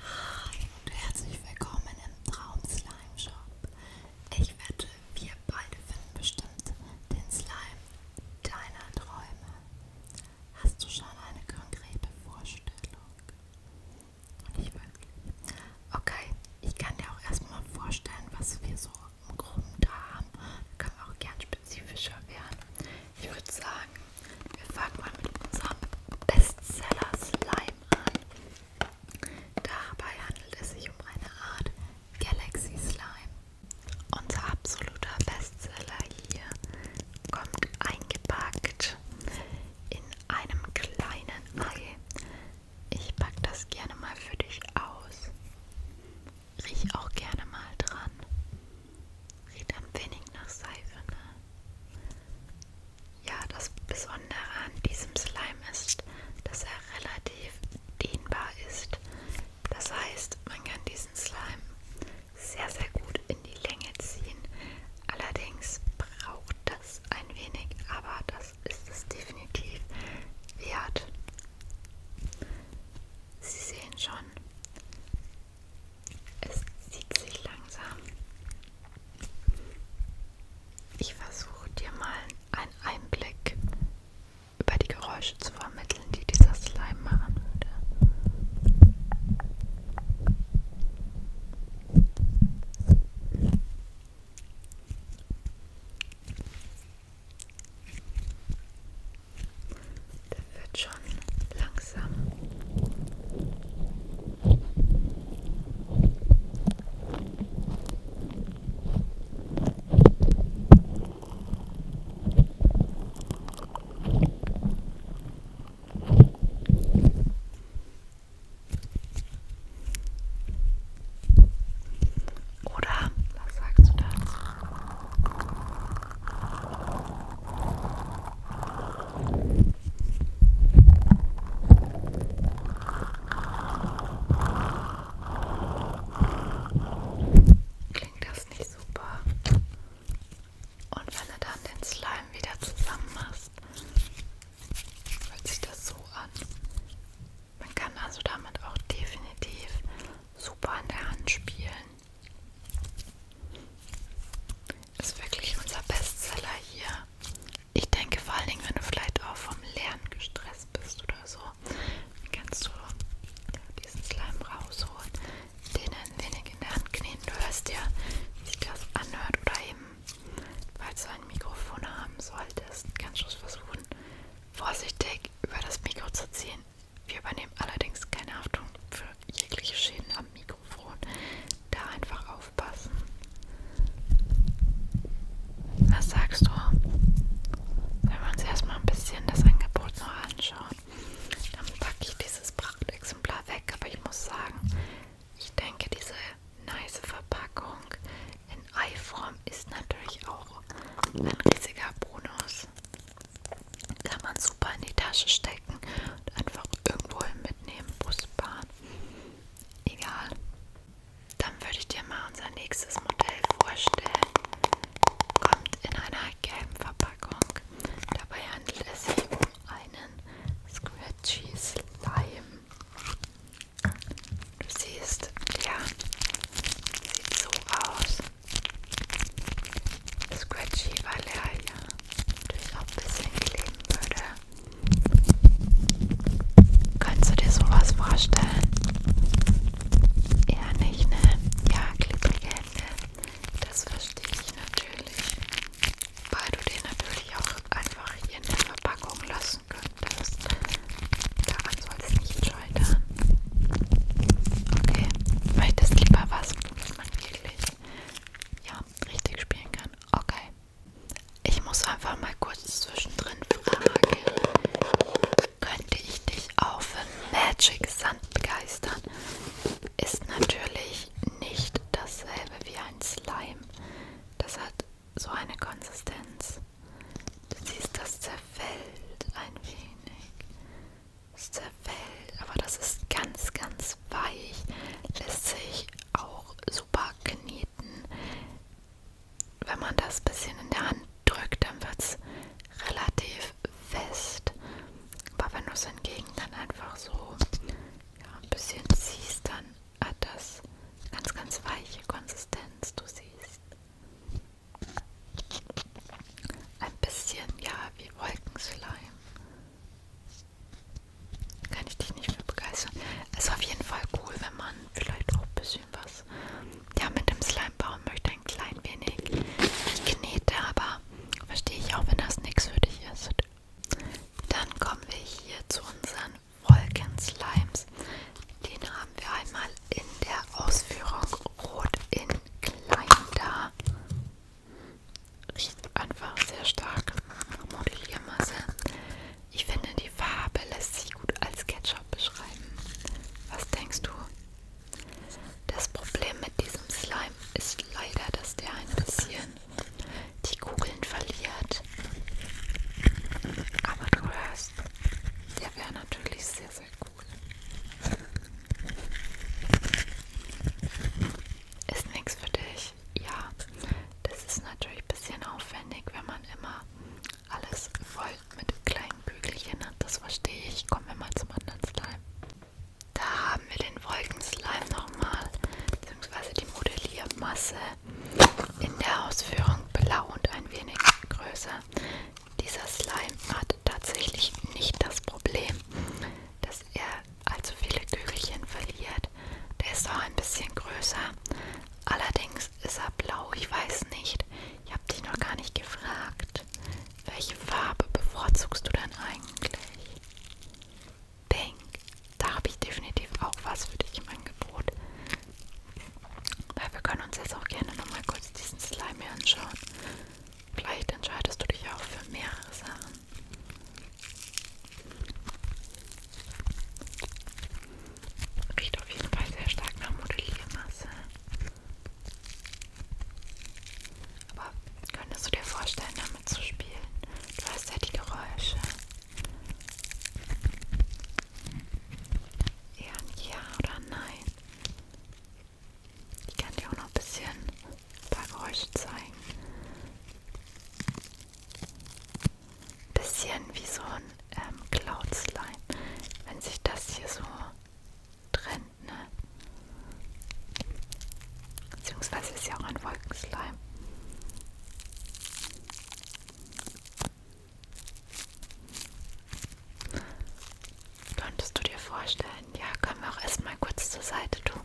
Hi und herzlich willkommen im Traum Slime Shop. Ich wette, wir beide finden bestimmt den Slime deiner Träume. Hast du schon eine konkrete Vorstellung? Und ich wirklich. Okay, ich kann dir auch erstmal vorstellen, was wir so im Groben da haben. Da können wir auch gern spezifischer werden. Ich würde sagen, wir fangen mal mit unserem Bestseller Slime an. Dabei handelt es sich um eine Art Galaxy Slime. Unser absoluter Bestseller hier kommt eingepackt in einem kleinen Ei. Ich packe das gerne mal für dich aus. Riech auch gerne mal dran. Riecht ein wenig nach Seife, ne? Ja, das Besondere an diesem Slime ist, dass er relativ dehnbar ist. Das heißt, man kann diesen Slime sehr, sehr gut in die Länge ziehen. Allerdings braucht das ein wenig, aber das ist es definitiv wert. Sie sehen schon, es zieht sich langsam. Ich versuche dir mal einen Einblick über die Geräusche zu vermitteln, die dieser Slime machen würde. Der wird schon langsam. Oder was sagst du dazu? Klingt das nicht super? Und wenn du dann den Slime wieder zusammen machst, hört sich das so an. Man kann also damit auch definitiv super an der Hand spielen. Ist wirklich unser Bestseller hier. Ich denke vor allen Dingen, wenn du vielleicht auch vom Lernen gestresst bist oder so, kannst du diesen Slime rausholen, den ein wenig in der Hand knien. Du hörst ja, wie sich das anhört oder eben, falls du ein Mikrofon haben solltest, kannst du es versuchen, vorsichtig über das Mikro zu ziehen wir übernehmen allerdings keine Haftung für jegliche Schäden am Mikrofon. Da einfach aufpassen. Was sagst du? Wenn wir uns erstmal ein bisschen das Angebot noch anschauen, dann packe ich dieses Prachtexemplar weg. Aber ich muss sagen, ich denke, diese nice Verpackung in Eiform ist natürlich auch ein riesiger Bonus ist, kann man super in die Tasche stecken und einfach irgendwo hin mitnehmen, Bus, Bahn, egal. Dann würde ich dir mal unser nächstes Modell vorstellen. Kommt in einer gelben Verpackung. Dabei handelt es sich um einen Scratchy Slime. Du siehst, ja, sieht so aus. Scratchy, weil er ja natürlich auch ein bisschen kleben würde. Kannst du dir sowas vorstellen? Eher nicht, ne? Ja, klebrige Hände. Das verstehe ich natürlich. Weil du den natürlich auch einfach hier in der Verpackung lassen könntest. Daran soll es nicht Schultern. Okay, weil das lieber was, was man wirklich ja, richtig spielen kann. Okay. Ich muss einfach mal kurz zwischendrin fragen. Könnte ich dich auch für Magic Sand begeistern? Ist natürlich nicht dasselbe wie ein Slime. Das hat so eine Konsistenz. Du siehst, das zerfällt ein wenig zerfällt. Aber das ist ganz, ganz weich. Lässt sich auch super kneten. Wenn man das ein bisschen in der Hand drückt, dann wird es relativ fest. Aber wenn du es hingegen dann einfach so ja, ein bisschen ziehst, dann hat das ganz, ganz weiche Konsistenz. Du siehst. Ein bisschen, ja, wie Wolkenslime. Kann ich dich nicht für begeistern. Es ist auf jeden Fall cool, wenn man vielleicht auch ein bisschen was ja, mit dem Slime bauen möchte. Ein klein wenig Knete, aber verstehe ich auch, wenn das nichts für dich ist. Dann kommen wir hier zu unseren Wolkenslimes. Den habe haben wir einmal in der Ausführung Rot in Klein da. Riecht einfach sehr stark nach Modelliermasse. Ich finde, die Farbe lässt sich gut als Ketchup beschreiben. Was denkst du? Das Problem mit diesem Slime ist leider, dass der ein bisschen die Kugeln verliert. Aber du hörst, der wäre natürlich sehr, seid cool. Ist nichts für dich? Ja, das ist natürlich ein bisschen aufwendig, wenn man immer alles voll mit kleinen Kügelchen hat. Das verstehe ich. Kommen wir mal zum anderen Slime. Da haben wir den Wolkenslime nochmal, beziehungsweise die Modelliermasse in der Ausführung blau und ein wenig größer. Dieser Slime hat tatsächlich nicht das Problem, dass er allzu viele Kügelchen verliert. Der ist auch ein bisschen größer. Allerdings ist er blau, ich weiß nicht. Ich habe dich noch gar nicht gefragt. Welche Farbe bevorzugst du denn eigentlich? Pink. Da habe ich definitiv auch was für dich im Angebot. Weil wir können uns jetzt auch gerne nochmal kurz diesen Slime hier anschauen. Vielleicht entscheidest du dich auch für mehrere Sachen. Riecht auf jeden Fall sehr stark nach Modelliermasse. Aber könntest du dir vorstellen, damit zu spielen? Du hast ja die Geräusche. Eher ein Ja oder Nein. Ich kann dir auch noch ein bisschen ein paar Geräusche zeigen. Bisschen wie so ein ähm, Cloud Slime, wenn sich das hier so trennt, ne? Beziehungsweise ist ja auch ein Wolkenslime. Konntest du dir vorstellen? Ja, können wir auch erstmal kurz zur Seite tun.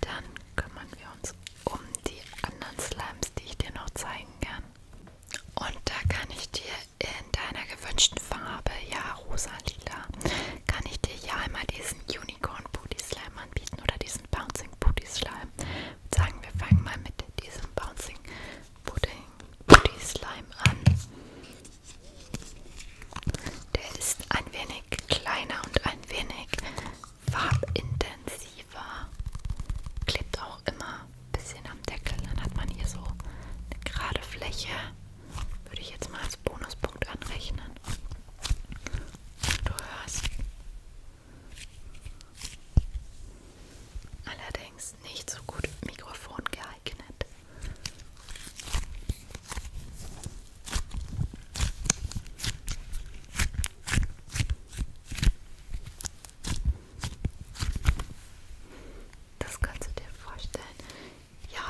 Dann kümmern wir uns um die anderen Slimes, die ich dir noch zeigen kann. Und da kann ich dir in deiner gewünschten Farbe, ja, rosa, lila, kann ich dir ja einmal diesen Unicorn Booty Slime anbieten oder diesen Bouncing Booty Slime. Sagen wir fangen mal mit diesem Bouncing Pudding, Puddy Slime an. Der ist ein wenig kleiner und ein wenig farbintensiver. Klebt auch immer ein bisschen am Deckel. Dann hat man hier so eine gerade Fläche. Würde ich jetzt mal als Bonuspunkt anrechnen. Du hörst. Allerdings ist nicht so gut Mikrofon geeignet. Das kannst du dir vorstellen. Ja,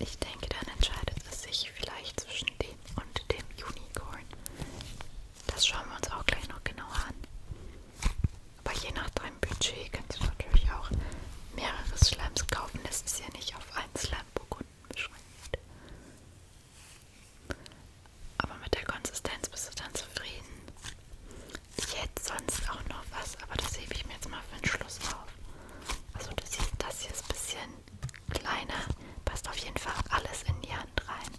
ich denke, dann entscheidet es sich vielleicht zwischen dem und dem Unicorn. Das schauen wir uns auch gleich noch genauer an. Aber je nach deinem Budget kannst du natürlich auch mehrere Slimes kaufen. Das ist ja nicht auf einen Slime-Burgunden beschränkt. Aber mit der Konsistenz bist du dann zufrieden. Ich hätte sonst auch noch was, aber das hebe ich mir jetzt mal für den Schluss auf. Also du siehst, das hier ist ein bisschen kleiner. Passt auf jeden Fall alles in die Hand rein.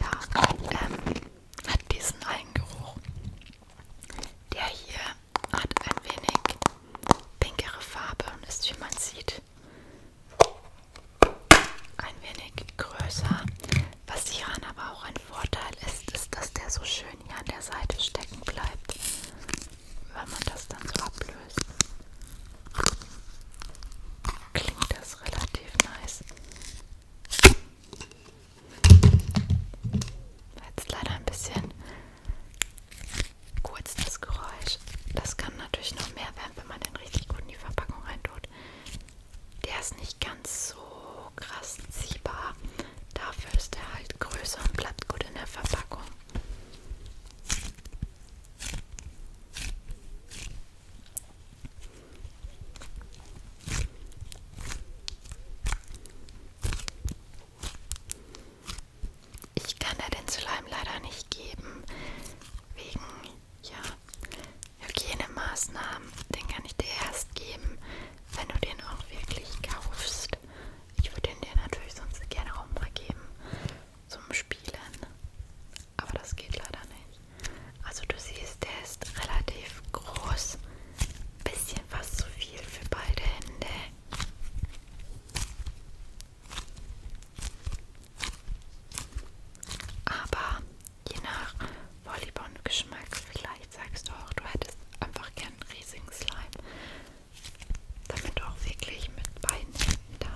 Ja, ähm, hat diesen Algengeruch. Der hier hat ein wenig pinkere Farbe und ist, wie man sieht, ein wenig größer. Was hieran aber auch ein Vorteil ist, ist, dass der so schön hier an der Seite stecken bleibt, wenn man das dann so ablöst. Klingt das relativ nice. War jetzt leider ein bisschen kurz das Geräusch. Das kann natürlich noch mehr werden, wenn man den richtig gut in die Verpackung reintut. Der ist nicht ganz so krass ziehbar. Dafür ist er halt größer und bleibt gut in der Verpackung. Ich kann da den Slime leider nicht geben, wegen ja, Hygienemaßnahmen. Den kann ich dir erst geben, wenn du den auch wirklich kaufst. Ich würde den dir natürlich sonst gerne auch mal geben zum Spielen aber das geht leider nicht. Also du siehst, der ist relativ groß. Bisschen fast zu viel für beide Hände. Aber je nach Volleyball und Geschmack, vielleicht sagst du auch, du hättest einfach gern einen riesigen Slime. Damit du auch wirklich mit beiden Händen da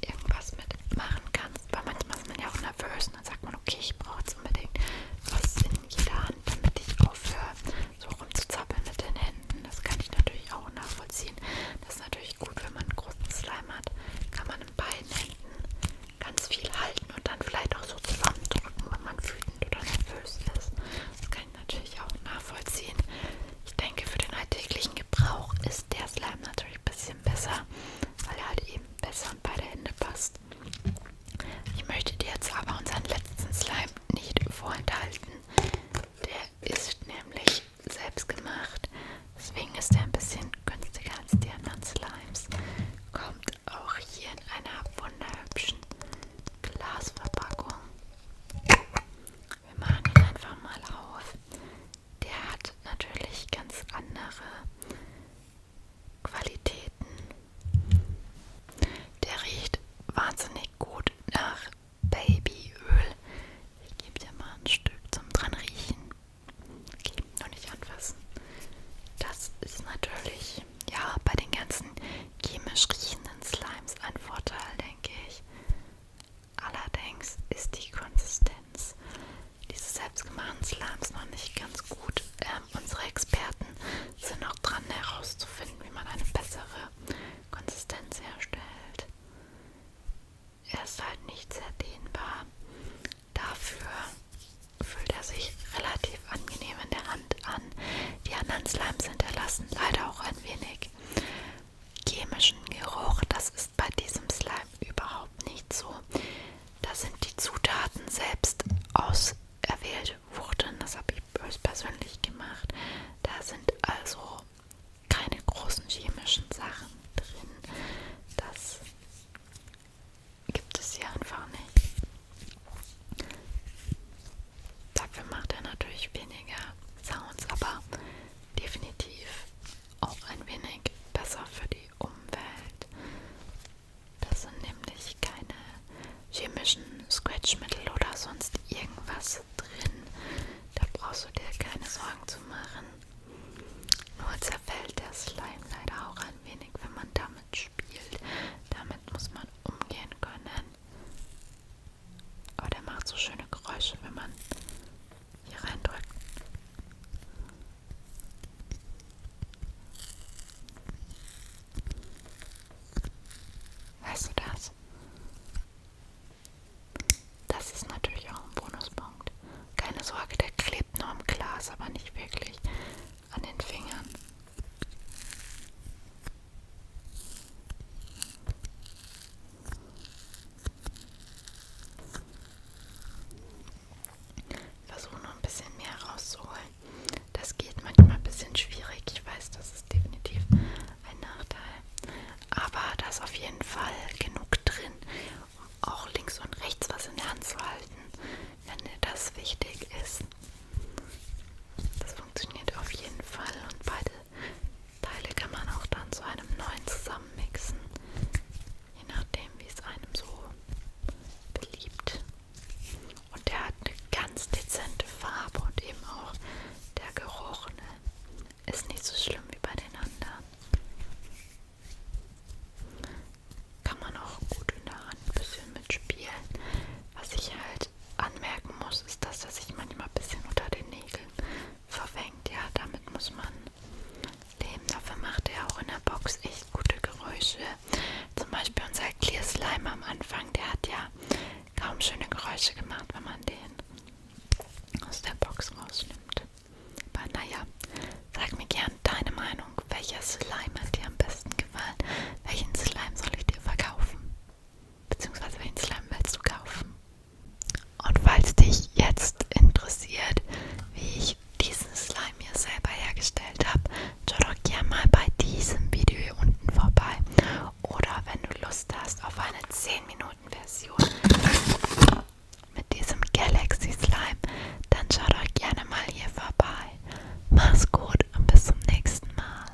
irgendwas mitmachen kannst, weil manchmal ist man ja auch nervös und dann sagt man, okay, ich brauche jetzt unbedingt was in jeder Hand, damit ich aufhöre, so rumzuzappeln mit den Händen. Das kann ich natürlich auch nachvollziehen. Das ist natürlich gut, wenn man einen großen Slime hat, kann man in beiden Händen ganz viel halten und dann vielleicht auch so zusammendrücken, wenn man wütend oder nervös ist. Das kann ich natürlich auch nachvollziehen. Ich denke, für den alltäglichen Gebrauch ist der Slime natürlich ein bisschen besser, weil er halt eben besser an beide Hände passt. Ich möchte dir jetzt aber unseren letzten Slime nicht vorenthalten. Der ist nämlich selbst gemacht. Deswegen ist er ein bisschen günstiger als die anderen Slimes. Kommt auch hier in einer wunderhübschen Glasverpackung. Wir machen ihn einfach mal auf der hat natürlich ganz andere Qualitäten. Der riecht wahnsinnig gut nach Babyöl. Ich gebe dir mal ein Stück zum dran riechen. Okay, noch nicht anfassen. Das ist natürlich ja bei den ganzen chemisch riechenden Slimes ein Vorteil, denke ich. Allerdings ist die Konsistenz dieses selbstgemachten Slams noch nicht ganz gut. Ähm, unsere Experten sind noch dran herauszufinden, wie man eine bessere Konsistenz herstellt. Er ist halt nicht sehr dehnbar. Dafür fühlt er sich relativ angenehm in der Hand an. Die anderen Slimes hinterlassen leider halt auch ein wenig chemischen Geruch, das ist bei diesem Slime überhaupt nicht so. Da sind die Zutaten selbst auserwählt wurden. Das habe ich höchstpersönlich gemacht. Da sind also keine großen chemischen Sachen drin. Das gibt es hier einfach nicht. Dafür macht er natürlich weniger Sounds, aber definitiv auch ein wenig besser für die Umwelt. Das sind nämlich keine chemischen Scratchmittel oder sonst irgendwas drin. Da brauchst du dir keine Sorgen zu machen. Nur zerfällt der Slime leider auch ein wenig, wenn man damit spielt. Damit muss man umgehen können. Aber der macht so schöne Geräusche, wenn man hier reindrückt. Weißt du das? Das ist natürlich auch ein Bonuspunkt. Keine Sorge, der klebt nur am Glas, aber nicht wirklich an den Fingern. Versuche noch ein bisschen mehr rauszuholen. Das geht manchmal ein bisschen schwierig. Ich weiß, das ist definitiv ein Nachteil. Aber da ist auf jeden Fall genug drin, um auch links und rechts was in der Hand zu halten, wenn dir das wichtig ist. Das funktioniert auf jeden Fall und beide Teile kann man auch dann zu einem neuen zusammenmixen, je nachdem wie es einem so beliebt. Und der hat eine ganz dezente Farbe und eben auch der Geruch ne? ist nicht so schlimm wie bei den anderen. Kann man auch gut in der Hand ein bisschen mitspielen. Was ich halt anmerken muss, ist das, dass sich manchmal ein bisschen unter den Nägeln verfängt. Ja, damit muss man leben. Dafür macht er auch in der Box echt gute Geräusche. Zum Beispiel unser Clear Slime am Anfang, der hat ja kaum schöne Geräusche gemacht, wenn man den aus der Box rausnimmt. Aber naja, sag mir gern deine Meinung. Welcher Slime hat dir am besten gefallen? Welchen Slime soll ich dir verkaufen? beziehungsweise welchen Slime willst du kaufen? Und falls dich jetzt interessiert, wie ich diesen Slime hier selber hergestellt habe, schau doch gerne mal bei diesem Video hier unten vorbei. Oder wenn du Lust hast auf eine 10-Minuten-Version mit diesem Galaxy Slime, dann schau doch gerne mal hier vorbei. Mach's gut und bis zum nächsten Mal.